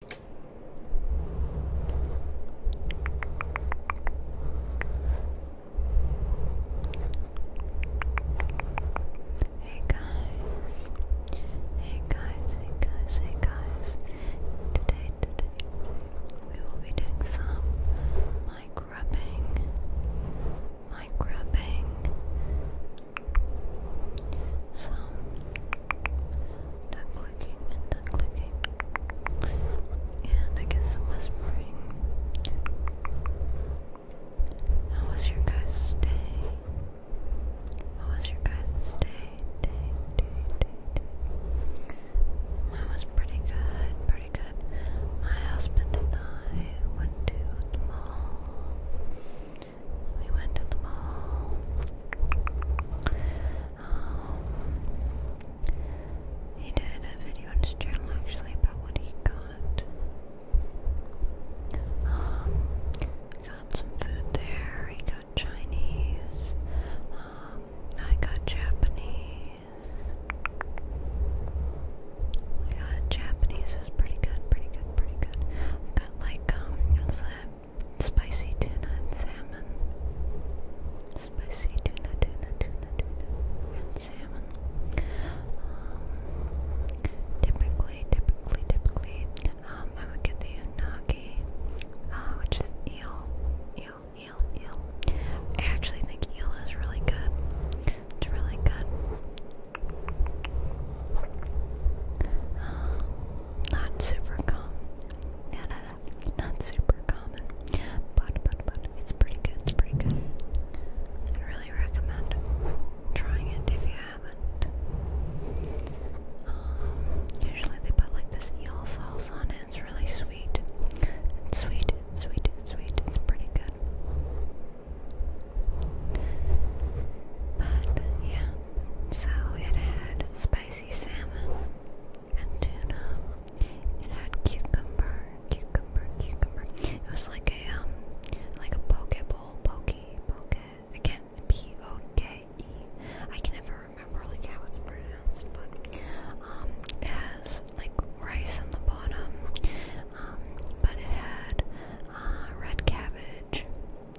Hey guys, hey guys, hey guys, hey guys. Today, today, we will be doing some mic rubbing, some and duck clicking. I guess whispering. How was your guys' day? How was your guys' day? Day, day, day, day. Mine was pretty good, pretty good. My husband and I went to the mall. We went to the mall. Um, he did a video on his channel actually about what he got. Um, got some food there. He got Chinese. Um, I got Japanese. I got Japanese was pretty good, pretty good, pretty good. I got like um, Spicy tuna and salmon. Spicy tuna, tuna, tuna, tuna, and salmon. Um, typically, typically, typically, um, I would get the unagi, uh, which is eel, eel, eel, eel. I actually think eel is really good. It's really good. Um, not super common. not super common, but but but it's pretty good. It's pretty good. i really recommend trying it if you haven't. Um, usually they put like this eel sauce on it. It's really sweet. It's sweet. It's sweet. It's sweet. It's pretty good. But yeah, so it had spicy salmon and tuna. It had cucumber, cucumber, cucumber. It was like a um, like a poke bowl, poke, poke. Again, P O K E. I can never remember like how it's pronounced, but um, it has like rice on the bottom. Um, but it had uh, red cabbage,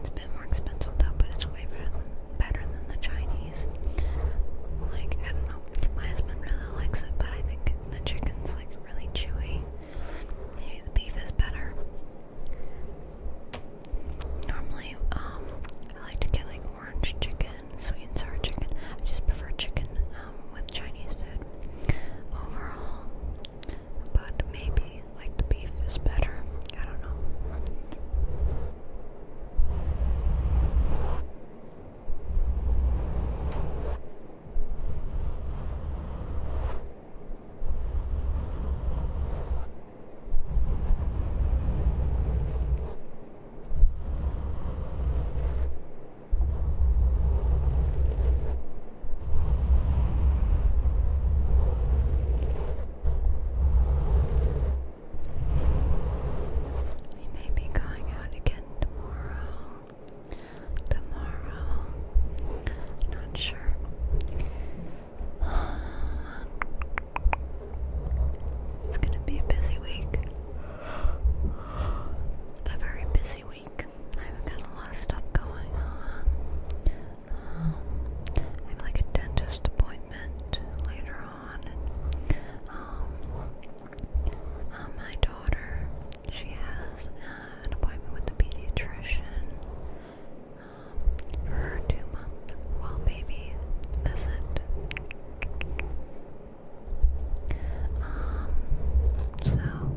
It's a bit more expensive though, but it's way better than, better than the Chinese. Like, I don't know. My husband really likes it, but I think the chicken's like really chewy. Maybe the beef is better. Normally, um, I like to get like orange chicken, sweet and sour chicken. I just prefer chicken um, with Chinese food overall. But maybe like the beef is better. I don't know. We may be going out again tomorrow. Tomorrow. Not sure. It's going to be a busy week. A very busy week. I've got a lot of stuff going on. I have like a dentist appointment later on. Um, uh, my daughter, she has an appointment with the pediatrician um, for her two-month well baby visit. Um, so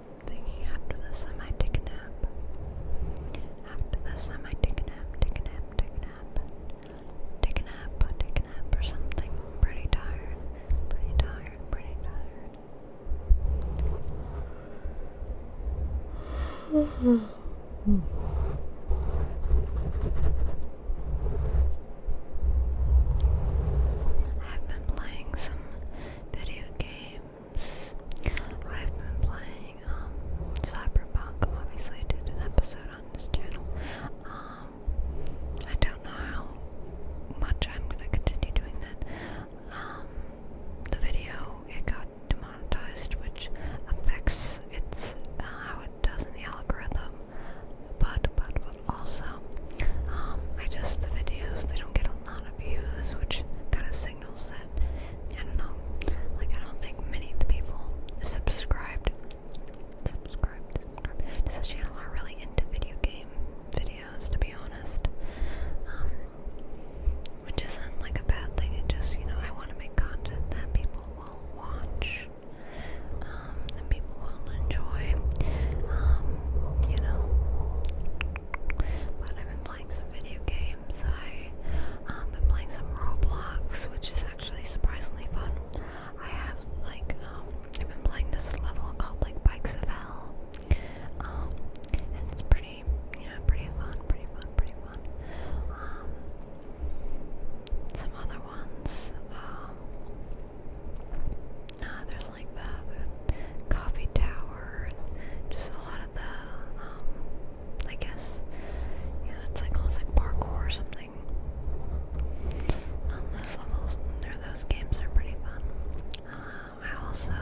thinking after this I take a nap. After this I take a nap, take a nap, take a nap. Take a nap, take a nap or something. am pretty tired. Pretty tired, pretty tired. I've been playing some video games. I've been playing um, Cyberpunk, obviously did an episode on this channel. Um, I don't know how much I'm going to continue doing that. Um, the video, it got demonetized, which affects its, uh, how it does in the algorithm, but, but, also. Um, I just, the videos, they don't get a lot of views, which kind of signals that, I don't know, like I don't think many of the people subscribed, to this channel are really into video game videos, to be honest. Um, which isn't like a bad thing, it just, you know, I want to make content that people will watch. Um, will enjoy. Um, you know, but I've been playing some video games. I um been playing some Roblox, which is actually surprisingly fun. I have like um I've been playing this level called like Bikes of Hell. Um, it's pretty, you know, pretty fun, pretty fun, pretty fun. Um, some other ones. Um, uh, there's like the, coffee tower and just a lot of the, um, I guess, you know, it's like almost like parkour or something. Um, those levels, those games are pretty fun. Um, I also,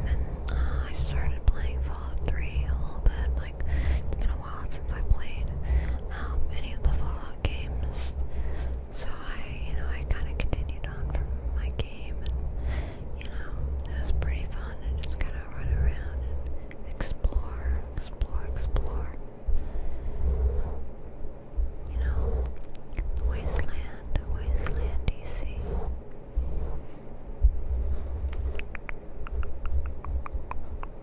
uh, I started playing Fallout 3 a little bit it's been a while since I played um, any of the Fallout games. So I, you know, I kind of continued on from my game, and you know, it was pretty fun just kind of run around and explore, explore, explore. You know, wasteland, wasteland, DC. Um,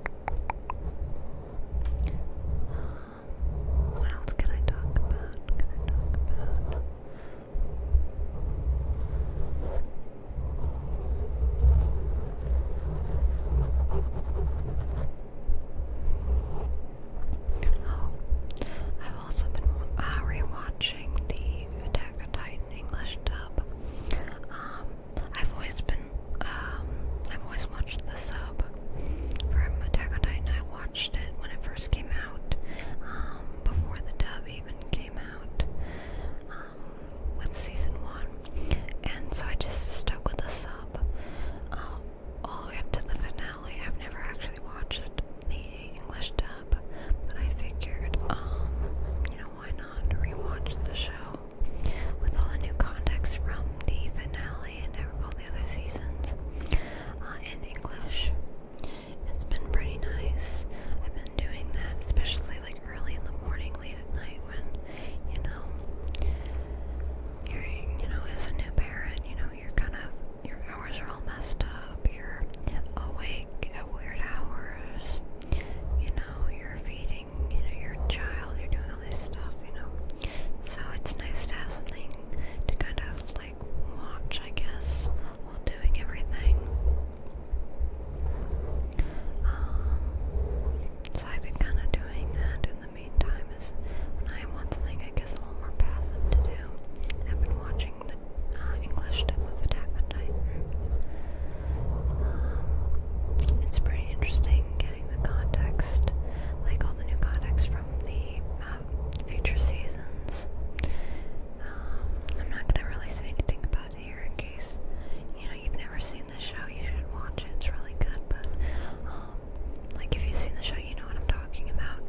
what else can I talk about? Can I talk about? Oh, I've also been uh, rewatching the Attack on Titan English dub. Um, I've always been, um, I've always watched the sub from Attack on Titan. I watched it when it first came out, um, before the dub even came out, with season one. And so I just stuck with the sub uh, all the way up to the finale. I've never actually watched the English dub, but I figured, you know why not rewatch the show with all the new context from the finale and all the other seasons uh, in English? It's been pretty nice. I've been doing that, especially like early in the morning, late at night when you know you're you know as a new parent, you know you're kind of your hours are all messed up. You're awake at weird hours. You know, you're feeding, you know, your child, you're doing all this stuff, you know. So it's nice to have something to kind of like watch, I guess, while doing everything. Um, so I've been kind of doing that in the meantime. Is when I want something, I guess, a little more passive to do. I've been watching the English type of Attack it's pretty interesting getting the context, like all the new context from the future seasons. I'm not gonna really say anything about it here in case you know you've never seen the show. You should watch it; it's really good. But like if you've seen the show, you know what I'm talking about.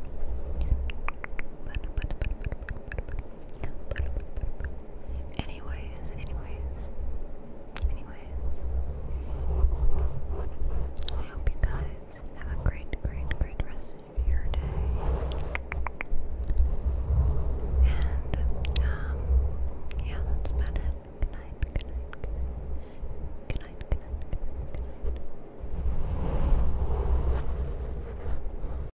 Anyways, anyways, anyways, I hope you guys have a great, great, great rest of your day. And, um, yeah, that's about it. good night, good night, good night, good night. Good night, good night.